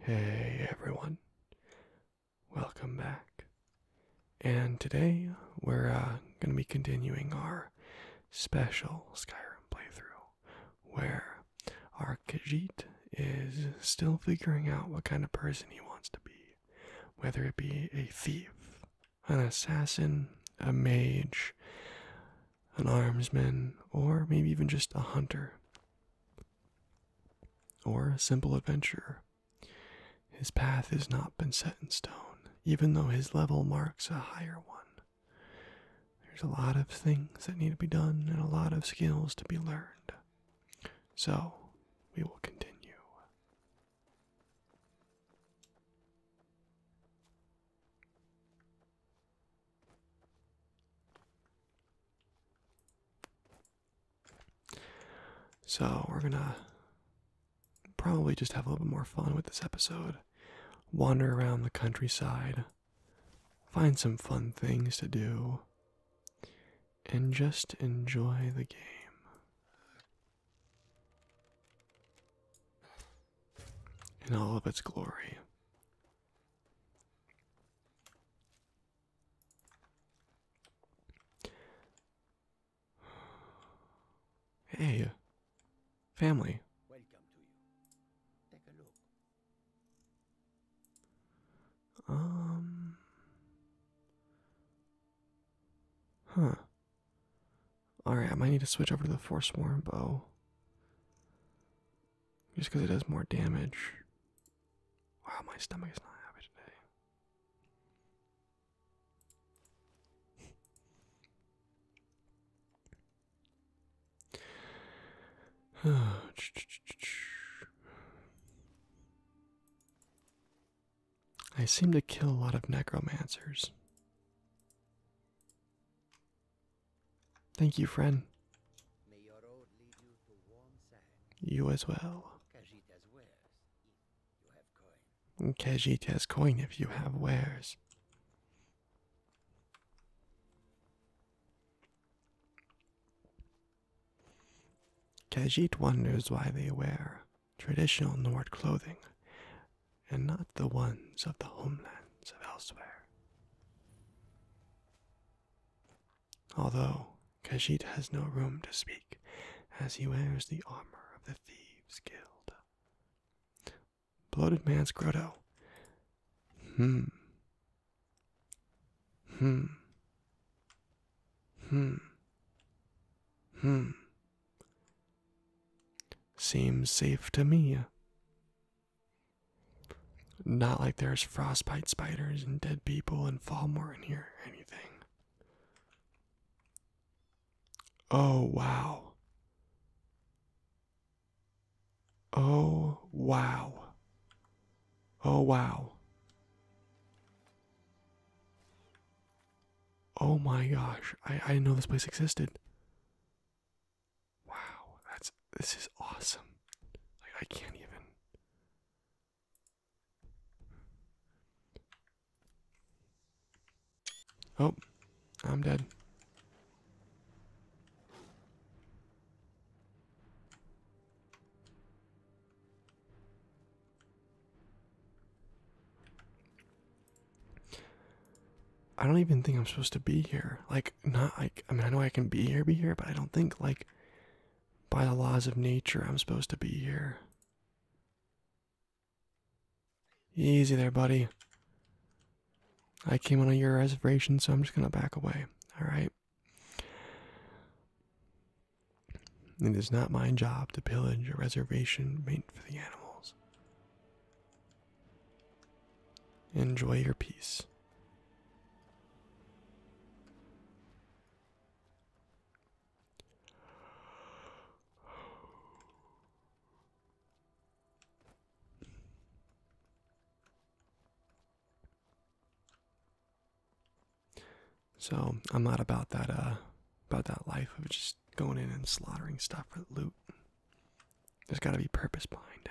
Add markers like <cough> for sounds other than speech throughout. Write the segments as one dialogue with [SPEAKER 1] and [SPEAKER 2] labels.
[SPEAKER 1] Hey everyone, welcome back. And today we're uh, going to be continuing our special Skyrim playthrough where our Kajit is still figuring out what kind of person he wants to be, whether it be a thief, an assassin, a mage, an armsman, or maybe even just a hunter, or a simple adventurer. His path has not been set in stone, even though his level marks a higher one. There's a lot of things that need to be done and a lot of skills to be learned. So, we will continue. So, we're gonna probably just have a little bit more fun with this episode. Wander around the countryside, find some fun things to do, and just enjoy the game in all of its glory. Hey, family. Welcome to you. Take a look. Um. Huh. Alright, I might need to switch over to the Force Swarm bow. Just because it does more damage. Wow, my stomach is not happy today. <sighs> I seem to kill a lot of necromancers. Thank you, friend. you as well. Kajit has coin if you have wares. Kajit wonders why they wear traditional Nord clothing, and not the ones of the homelands of elsewhere. Although Kajit has no room to speak, as he wears the armor of the Thieves Guild. Bloated Man's Grotto. Hmm. Hmm. Hmm. Hmm. Seems safe to me. Not like there's frostbite spiders and dead people and Fallmore in here or anything. Oh, wow. Oh, wow. Oh, wow. Oh my gosh, I, I didn't know this place existed. Wow, that's this is awesome. Like I can't even Oh, I'm dead. I don't even think I'm supposed to be here. Like, not like, I mean, I know I can be here, be here, but I don't think, like, by the laws of nature, I'm supposed to be here. Easy there, buddy. I came on your reservation, so I'm just gonna back away. Alright. It is not my job to pillage a reservation made for the animals. Enjoy your peace. So I'm not about that uh about that life of just going in and slaughtering stuff for loot. There's got to be purpose behind it.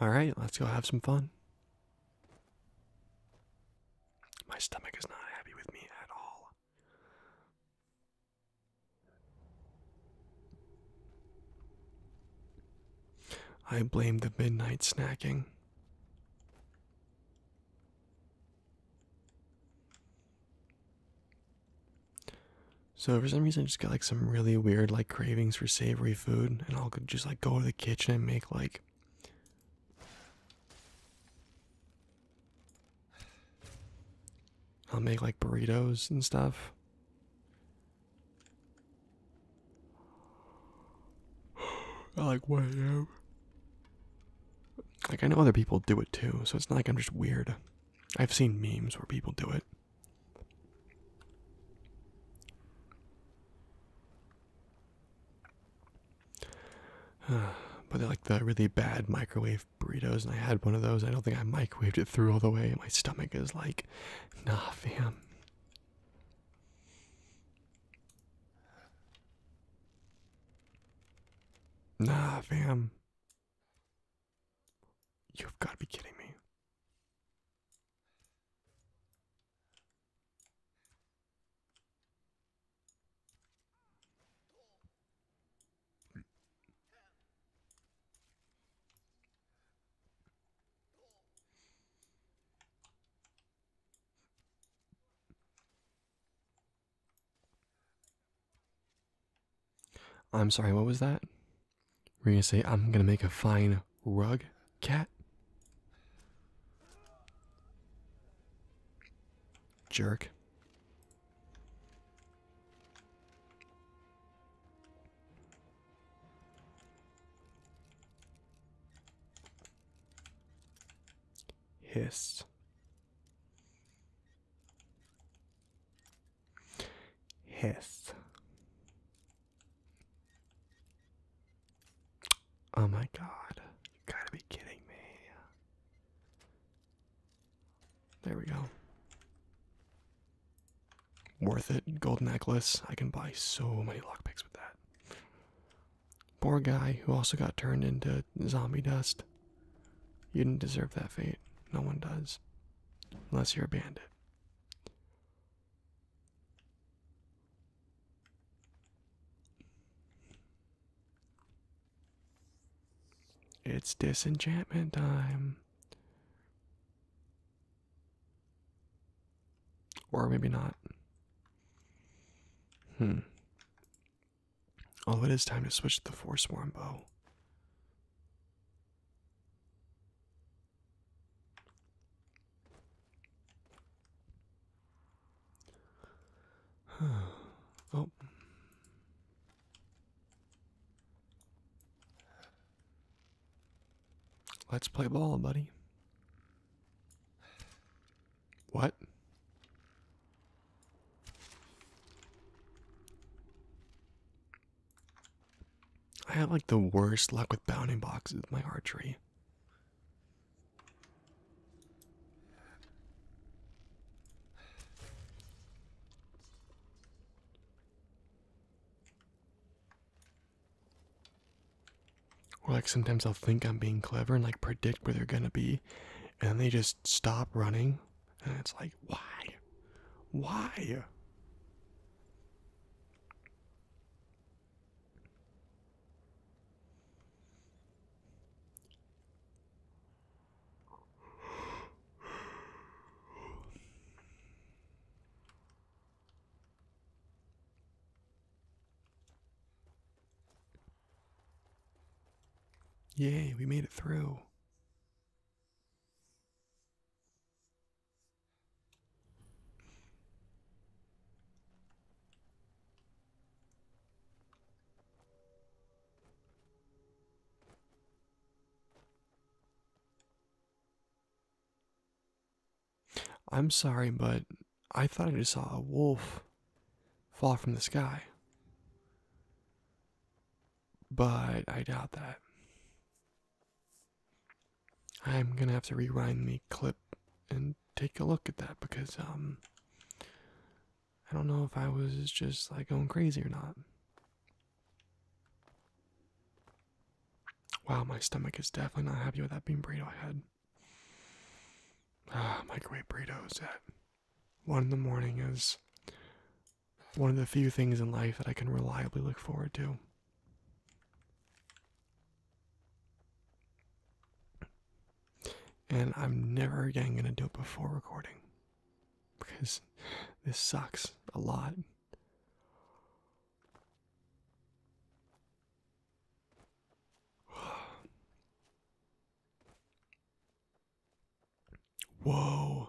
[SPEAKER 1] All right, let's go have some fun. My stomach is not happy with me at all. I blame the midnight snacking. So for some reason I just got like some really weird like cravings for savory food and all good just like go to the kitchen and make like I'll make like burritos and stuff. <gasps> like way out. Like I know other people do it too, so it's not like I'm just weird. I've seen memes where people do it. <sighs> but they're like the really bad microwave burritos, and I had one of those. I don't think I microwaved it through all the way. My stomach is like, nah, fam. Nah, fam. You've got to be kidding me. I'm sorry, what was that? We're gonna say, I'm gonna make a fine rug cat. Jerk. Hiss. Hiss. Oh my god. You gotta be kidding me. There we go. Worth it. Gold necklace. I can buy so many lockpicks with that. Poor guy who also got turned into zombie dust. You didn't deserve that fate. No one does. Unless you're a bandit. It's disenchantment time. Or maybe not. Hmm. Oh, it is time to switch to the Force Worm bow. <sighs> oh. Let's play ball, buddy. What? I have like the worst luck with bounding boxes with my archery. Or like sometimes I'll think I'm being clever and like predict where they're gonna be, and then they just stop running, and it's like why, why? Yay, we made it through. I'm sorry, but I thought I just saw a wolf fall from the sky. But I doubt that. I'm gonna have to rewind the clip and take a look at that because um I don't know if I was just like going crazy or not. Wow, my stomach is definitely not happy with that bean burrito I had. Ah, microwave burritos at one in the morning is one of the few things in life that I can reliably look forward to. And I'm never again going to do it before recording because this sucks a lot. <sighs> Whoa,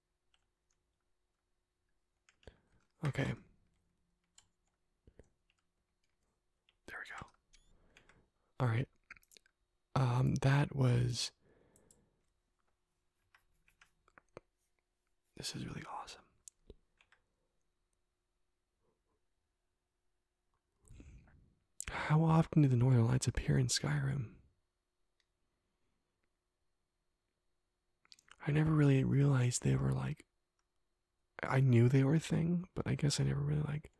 [SPEAKER 1] Okay. There we go. All right. Um, that was. This is really awesome. How often do the northern lights appear in Skyrim? I never really realized they were like I knew they were a thing, but I guess I never really like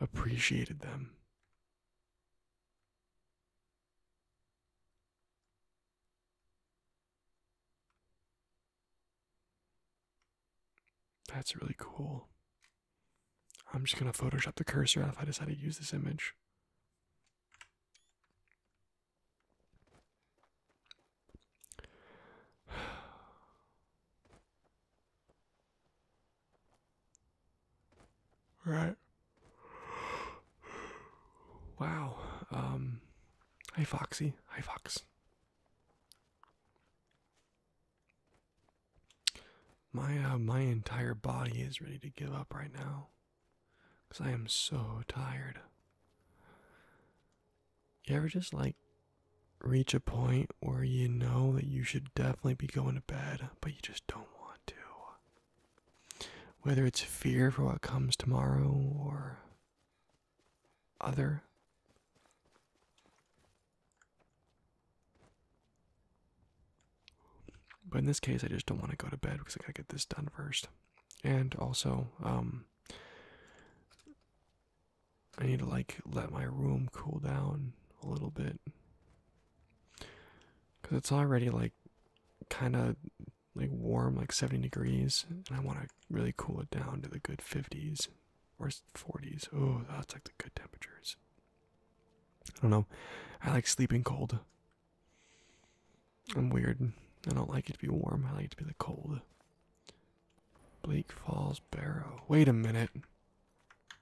[SPEAKER 1] appreciated them. That's really cool. I'm just going to Photoshop the cursor if I decide to use this image. <sighs> right. Wow. Um hi Foxy. Hi Fox. My uh, my entire body is ready to give up right now. Because I am so tired. You ever just like reach a point where you know that you should definitely be going to bed, but you just don't want to? Whether it's fear for what comes tomorrow or other. But in this case, I just don't want to go to bed because I gotta get this done first. And also, um, I need to like let my room cool down a little bit because it's already like kind of like warm, like 70 degrees, and I want to really cool it down to the good 50s or 40s. Oh, that's like the good temperatures. I don't know. I like sleeping cold. I'm weird. I don't like it to be warm. I like it to be the cold. Bleak Falls Barrow. Wait a minute.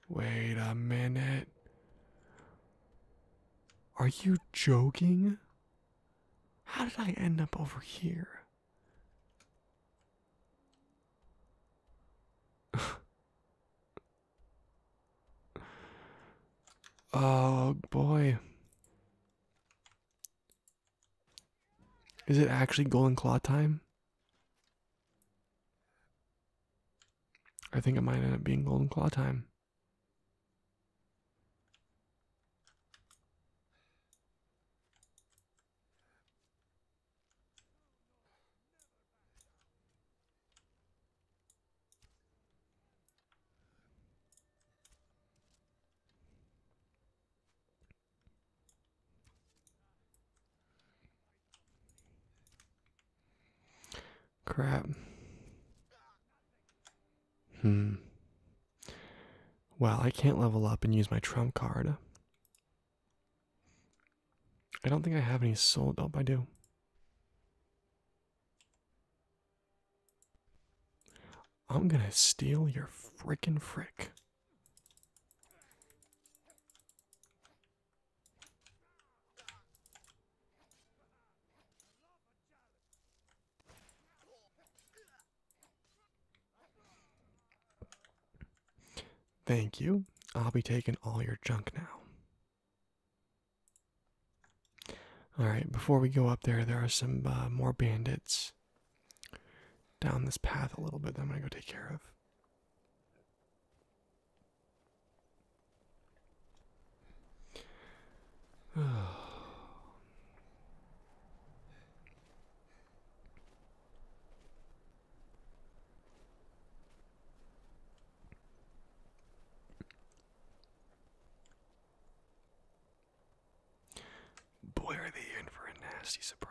[SPEAKER 1] Wait a minute. Are you joking? How did I end up over here? <laughs> Oh boy. Is it actually golden claw time? I think it might end up being golden claw time. Crap. Hmm. Well, I can't level up and use my trump card. I don't think I have any soul. Oh, I do. I'm gonna steal your frickin' frick. Thank you. I'll be taking all your junk now. All right, before we go up there, there are some uh, more bandits down this path a little bit that I'm going to go take care of. Boy, are they in for a nasty surprise.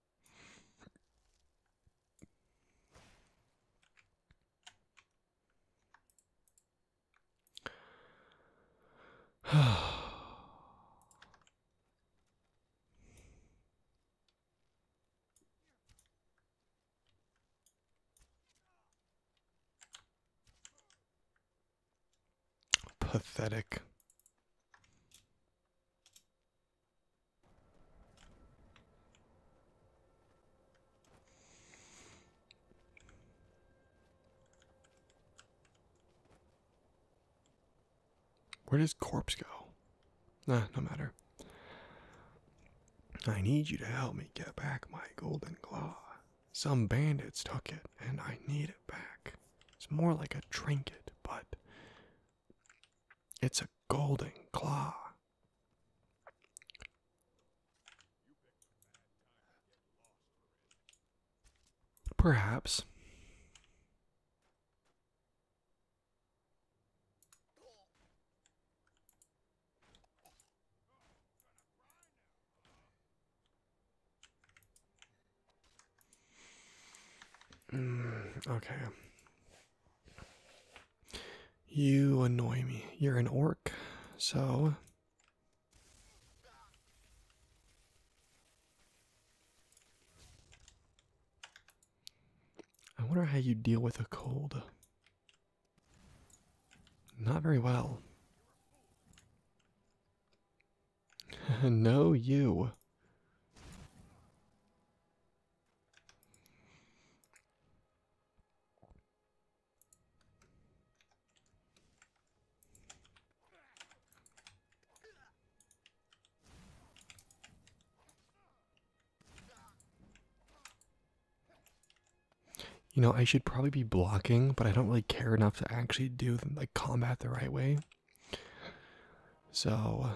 [SPEAKER 1] <sighs> Pathetic. Where does corpse go? Nah, no matter. I need you to help me get back my golden claw. Some bandits took it, and I need it back. It's more like a trinket, but it's a golden claw. Perhaps. Mm, okay. You annoy me. You're an orc, so. I wonder how you deal with a cold. Not very well. <laughs> no, you. You know, I should probably be blocking, but I don't really care enough to actually do like combat the right way. So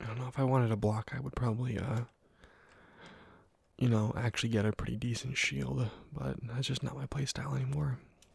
[SPEAKER 1] I don't know if I wanted to block, I would probably, uh, you know, actually get a pretty decent shield, but that's just not my playstyle anymore.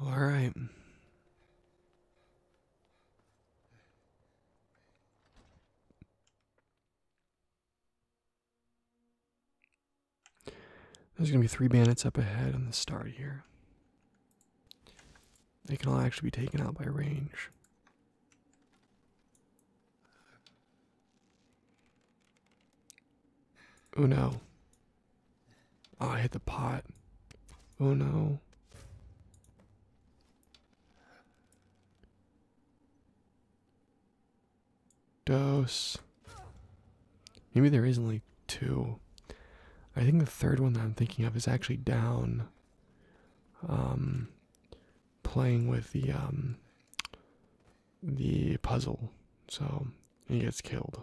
[SPEAKER 1] All right. There's going to be three bandits up ahead on the start here. They can all actually be taken out by range. Oh no. Oh, I hit the pot. Oh no. Dose. Maybe there is only two. I think the third one that I'm thinking of is actually down. Um, playing with the um, the puzzle, so he gets killed.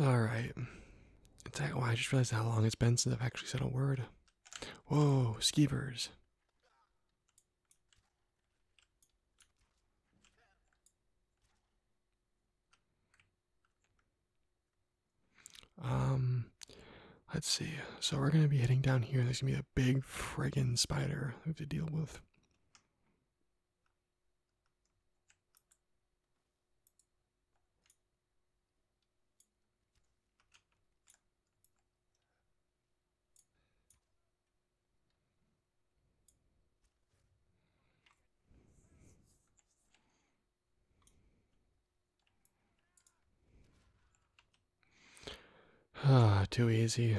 [SPEAKER 1] All right. I just realized how long it's been since I've actually said a word. Whoa, skeevers. Um, let's see. So we're gonna be heading down here. There's gonna be a big friggin' spider we have to deal with. Ah, too easy.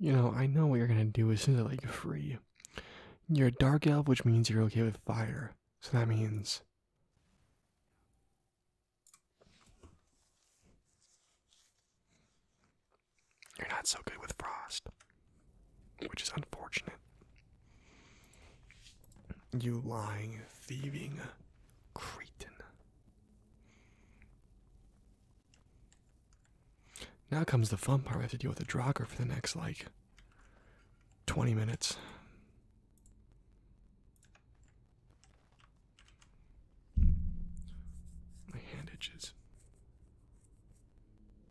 [SPEAKER 1] You know, I know what you're gonna do as soon as I let you free. You're a dark elf, which means you're okay with fire. So that means. You're not so good with frost, which is unfortunate. You lying, thieving cretin. Now comes the fun part. We have to deal with the drogger for the next, like, 20 minutes. My hand itches.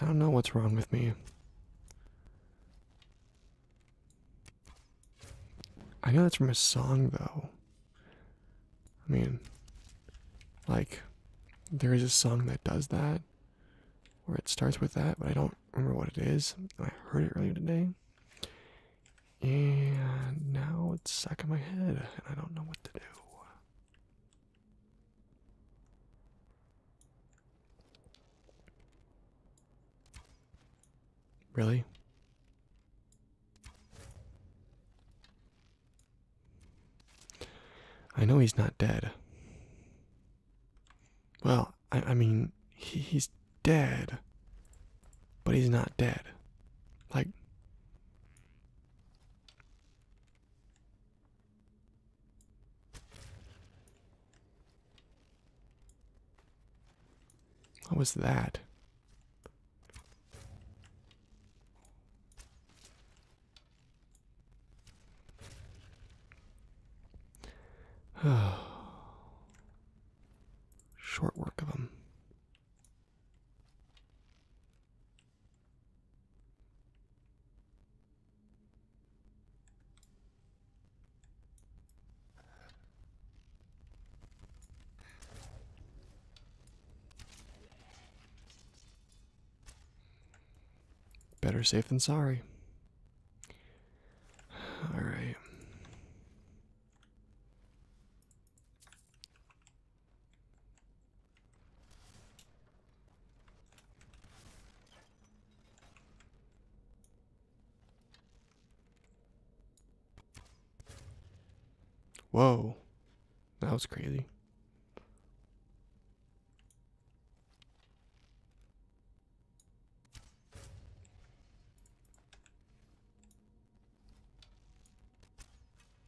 [SPEAKER 1] I don't know what's wrong with me. I know that's from a song, though. I mean, like, there is a song that does that, where it starts with that, but I don't remember what it is. I heard it earlier today, and now it's stuck in my head, and I don't know what to do. Really? I know he's not dead. Well, I, I mean, he, he's dead, but he's not dead. Like, what was that? <sighs> Short work of him. Better safe than sorry. All right. Whoa. That was crazy.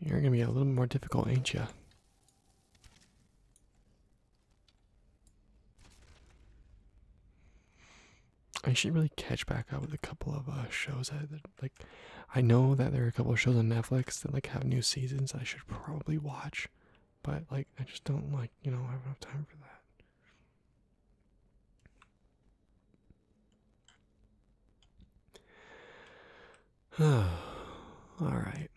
[SPEAKER 1] You're gonna be a little more difficult, ain't you? I should really catch back up with a couple of uh, shows that, like I know that there are a couple of shows on Netflix that like have new seasons I should probably watch, but like I just don't like you know I have enough time for that. <sighs> All right.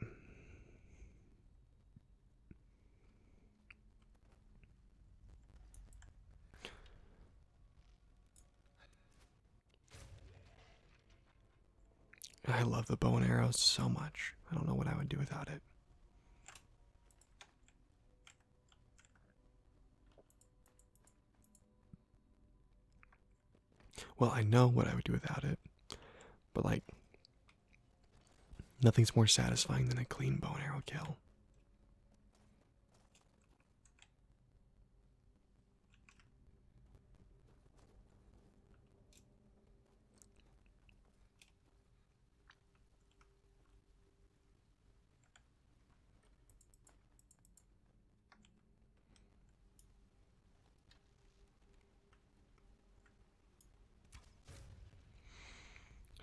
[SPEAKER 1] I love the bow and arrow so much. I don't know what I would do without it. Well, I know what I would do without it, but like, nothing's more satisfying than a clean bow and arrow kill.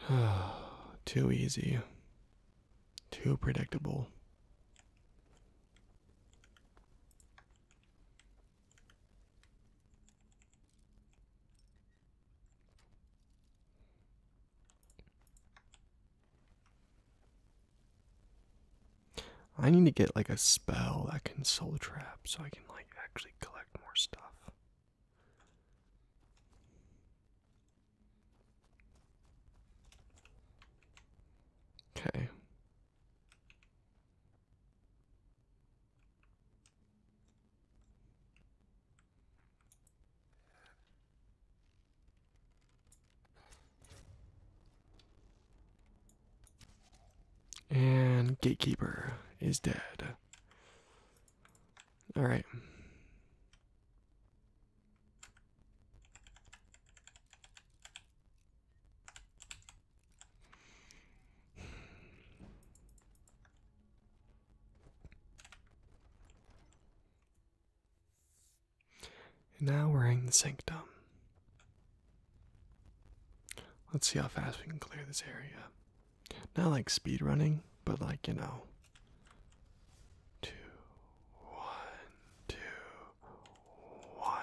[SPEAKER 1] <sighs> Too easy. Too predictable. I need to get like a spell that can soul trap so I can like actually collect more stuff. Okay. And Gatekeeper is dead. All right. And now we're in the sanctum. Let's see how fast we can clear this area. Not like speed running, but like, you know. Two, one, two, one.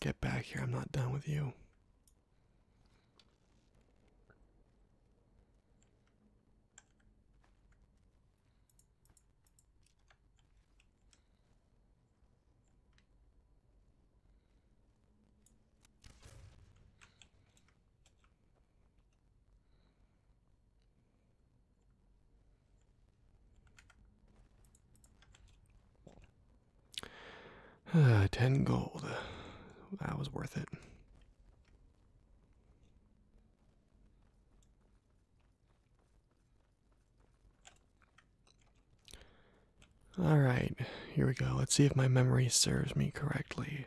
[SPEAKER 1] Get back here. I'm not done with you. <sighs> 10 gold. That was worth it. All right, here we go. Let's see if my memory serves me correctly.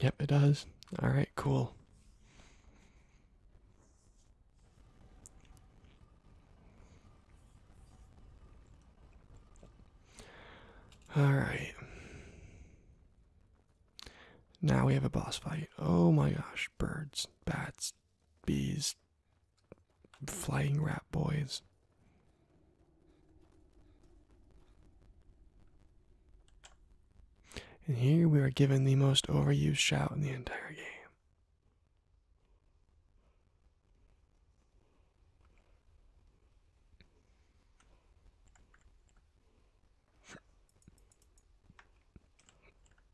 [SPEAKER 1] Yep, it does. All right, cool. All right. Now we have a boss fight. Oh my gosh, birds, bats, bees, flying rat boys. And here we are given the most overused shout in the entire game.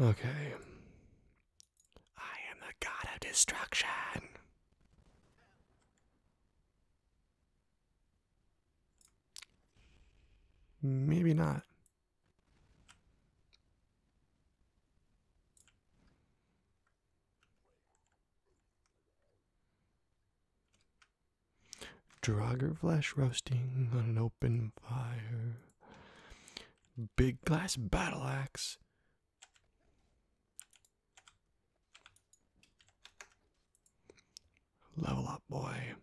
[SPEAKER 1] Okay. I am the god of destruction. Maybe not. Draugr flesh roasting on an open fire. Big glass battle axe. Level up, boy.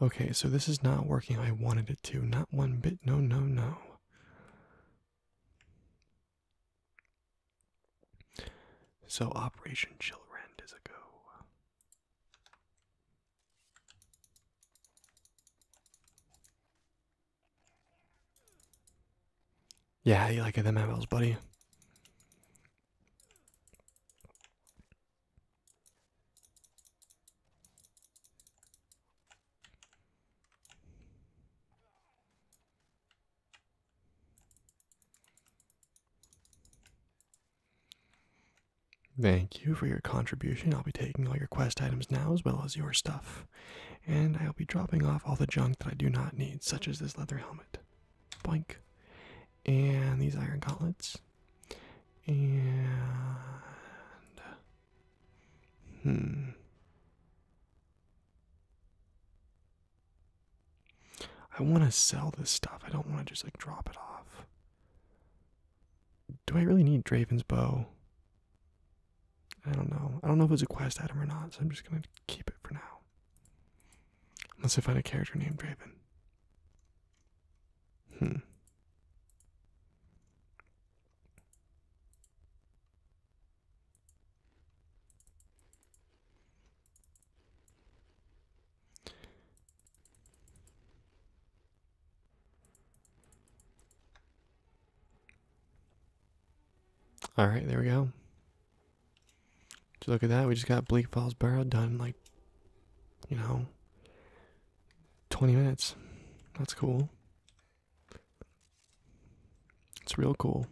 [SPEAKER 1] Okay, so this is not working. I wanted it to. Not one bit. No, no, no. So Operation Chillerend is a go. Yeah, you like it, them MLs, buddy? Thank you for your contribution. I'll be taking all your quest items now as well as your stuff. And I'll be dropping off all the junk that I do not need, such as this leather helmet. Boink. And these iron gauntlets. And Hmm. I want to sell this stuff. I don't want to just like drop it off. Do I really need Draven's bow? I don't know. I don't know if it's a quest item or not, so I'm just gonna keep it for now. Unless I find a character named Draven. Hmm. All right, there we go. Just look at that. We just got Bleak Falls Barrow done in like, you know, 20 minutes. That's cool. It's real cool.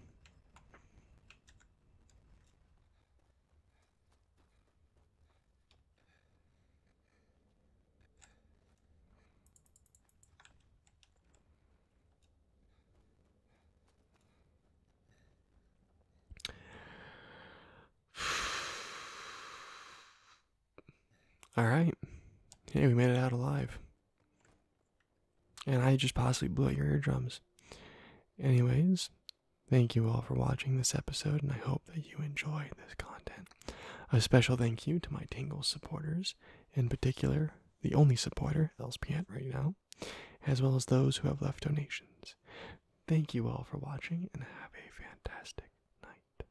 [SPEAKER 1] All right. Hey, we made it out alive. And I just possibly blew out your eardrums. Anyways, thank you all for watching this episode, and I hope that you enjoy this content. A special thank you to my Tingles supporters, in particular, the only supporter, LSPN, right now, as well as those who have left donations. Thank you all for watching, and have a fantastic night.